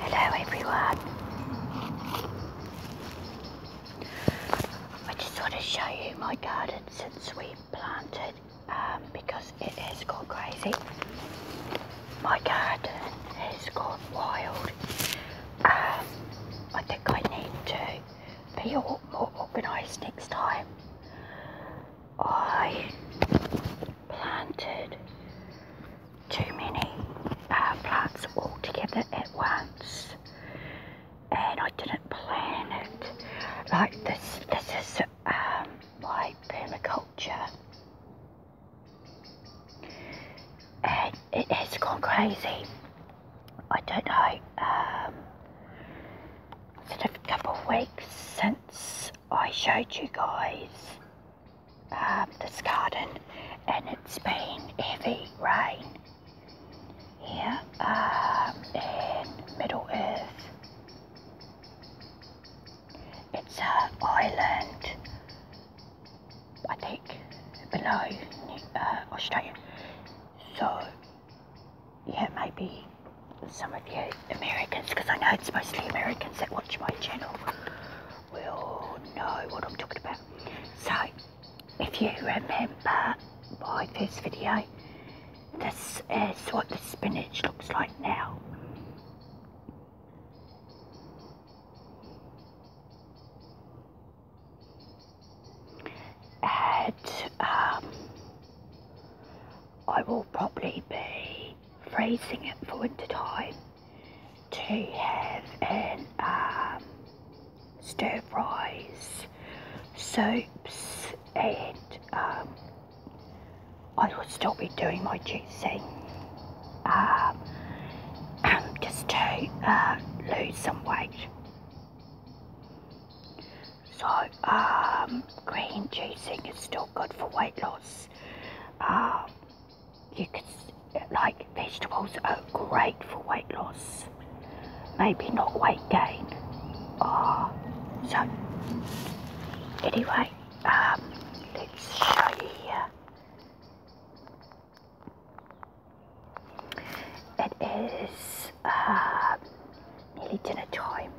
Hello everyone. I just want to show you my garden since we planted um, because it has gone crazy. My garden has gone wild. Um, I think I need to be more organised next time. I planted too many uh, plants all together at once and I didn't plan it like this this is um, my permaculture and it has gone crazy I don't know um, It's been a couple of weeks since I showed you guys um, this garden and it's been heavy rain here um, in Middle Earth. It's an island, I think, below uh, Australia. So yeah, maybe some of you Americans, because I know it's mostly Americans that watch my channel, will know what I'm talking about. So, if you remember my first video, this is what the spinach looks like now. And, um, I will probably be freezing it for winter time to have in um, stir fries, soups and um, I will still be doing my juicing um, just to uh, lose some weight. So um, green juicing is still good for weight loss. Um, you could like vegetables are great for weight loss. Maybe not weight gain. Oh, so anyway, um, let's show you here. It is uh, nearly dinner time,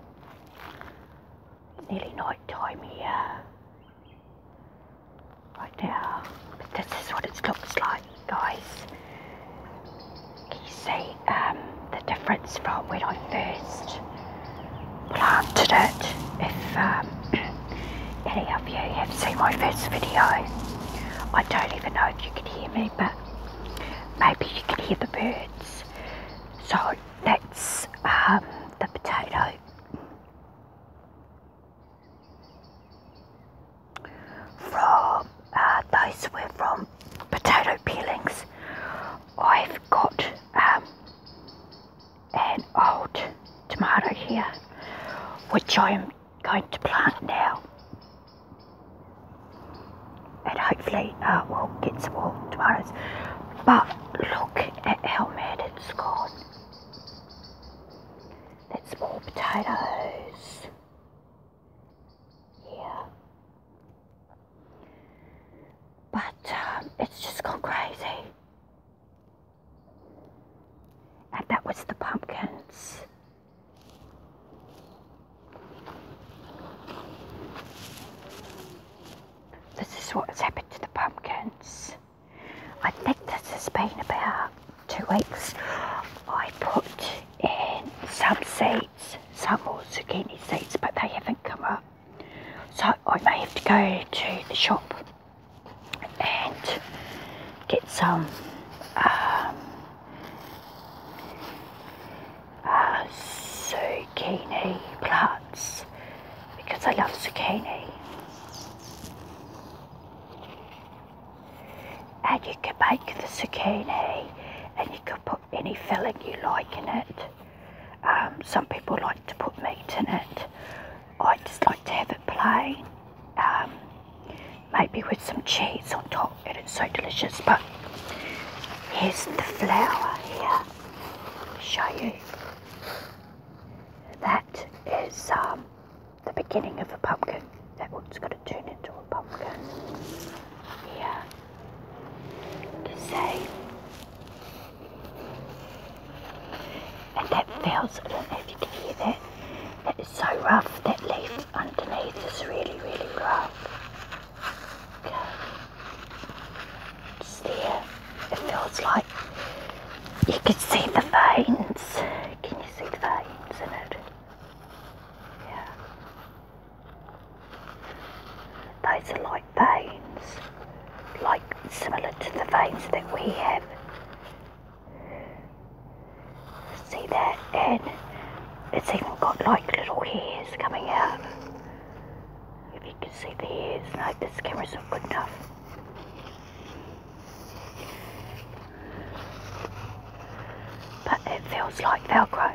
nearly night time here. Right now, but this is what it looks like, guys. Can you see um, the difference from when I first planted it? If um, any of you have seen my first video, I don't even know if you can hear me, but maybe you can hear the birds. So that's um, the potato. From uh, those were from potato peelings. I've got um, an old tomato here, which I'm going to plant now. And hopefully uh, we'll get some more tomorrow. But look at how mad it's gone. That's more potatoes. Yeah. But um, it's just gone crazy. And that was the pumpkins. This is what has happened to the pumpkins. I think this has been about two weeks. I put in some seeds, some more zucchini seeds, but they haven't come up. So I may have to go to the shop and get some um, uh, zucchini plants because I love zucchini. And you can make the zucchini and you can put any filling you like in it. Um, some people like to put meat in it I just like to have it plain, um, maybe with some cheese on top, and it's so delicious. But here's the flower. here. I'll show you. That is um, the beginning of a pumpkin. That one's going to turn into a pumpkin. Yeah. You can and that feels, I don't know if you can hear that, that is so rough, that leaf underneath is really, really rough. Okay. it feels like you can see the veins. Can you see the veins in it? Yeah. Those are like veins like similar to the veins that we have. See that? And it's even got like little hairs coming out. If you can see the hairs, no, this camera's not good enough. But it feels like Velcro.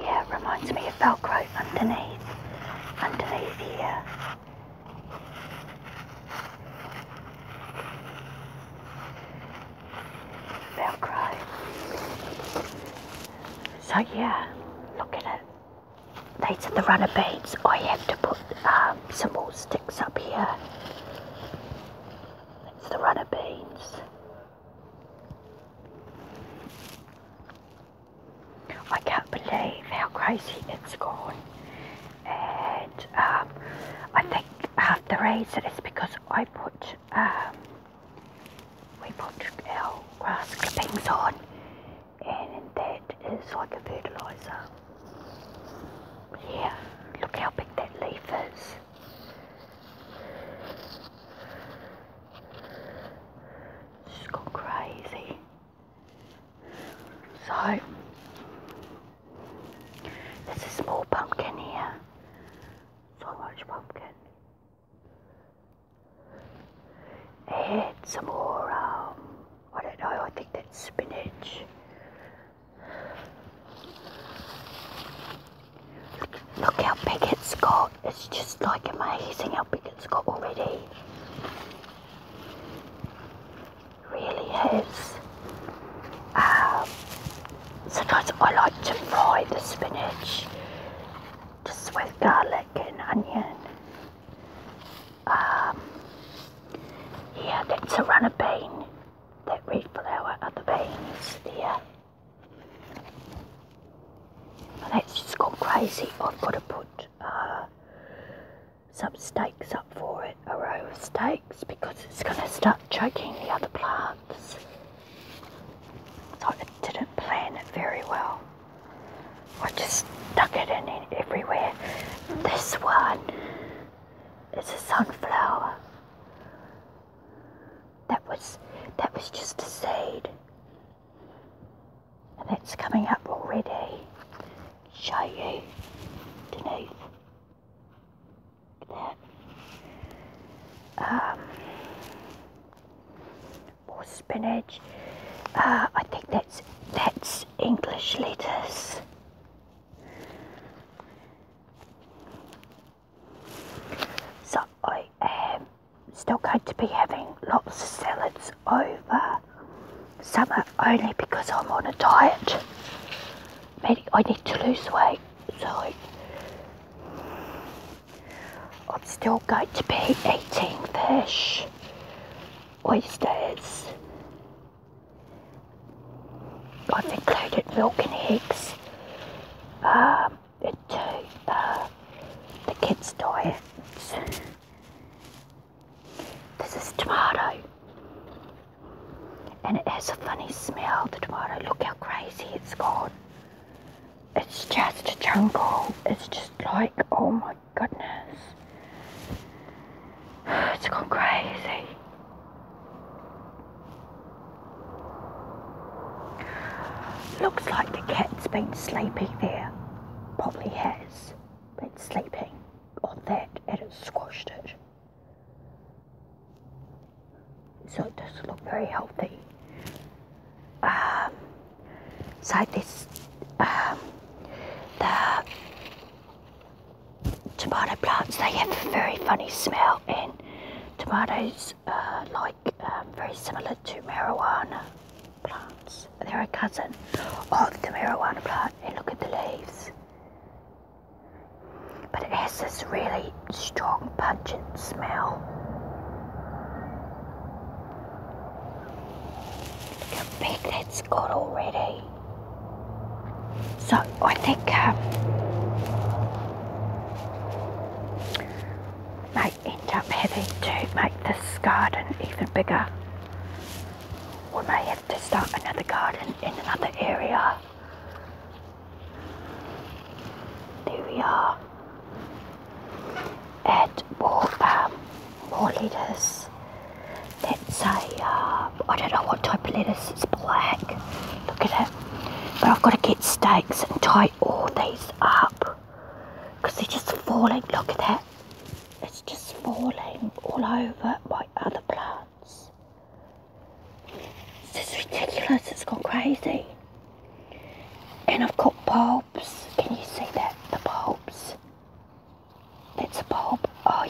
Yeah, it reminds me of Velcro underneath, underneath here. They'll cry. So yeah, look at it. These are the runner beans. I oh, have to put um, some more sticks up here. It's the runner beans. I can't believe how crazy it's gone. And um, I think half the reason is because I put, um, we put our grass clippings on and that is like a fertiliser. Yeah, look how big that leaf is. it gone crazy. So, there's a small pumpkin here. So much pumpkin. It's some more, um, I don't know, I think that's spinach. Look how big it's got. It's just like amazing how big it's got already. Really is. Um, sometimes I like to fry the spinach just with garlic and onion. Um, yeah, that's a bean, that red flower are the beans there. Let's just gone crazy. I've got to put uh, some stakes up for it, a row of stakes, because it's going to start choking the other plants. So it didn't plan it very well. I just stuck it in everywhere. This one is a sunflower. That was that was just a seed. And it's coming up already. Show you beneath that. Um, more spinach. Uh, I think that's that's English lettuce. So I am still going to be having lots of salads over summer only because I'm on a diet. Meaning I need to lose weight. So I'm still going to be eating fish, oysters. I've included milk and eggs. Um, to uh, the kids' diets. This is tomato. And it has a funny smell, the tomato. Look how crazy it's gone. It's just a jungle. It's just like, oh my goodness. It's gone crazy. Looks like the cat's been sleeping there. Probably has been sleeping on that and it squashed it. So it doesn't look very healthy. Um, so this, um, the tomato plants they have a very funny smell and tomatoes are like um, very similar to marijuana plants they're a cousin of the marijuana plant and look at the leaves but it has this really strong pungent smell look how big that's got already so I think um, may end up having to make this garden even bigger. We may have to start another garden in another area. There we are. Add more, um, more lettuce Let's say uh, I don't know what type of lettuce, it's black. Look at it. But I've got to get stakes and tie all these up. Because they're just falling, look at that. It's just falling all over my other plants. It's is ridiculous, it's gone crazy. And I've got bulbs. Can you see that? The bulbs. That's a bulb. Oh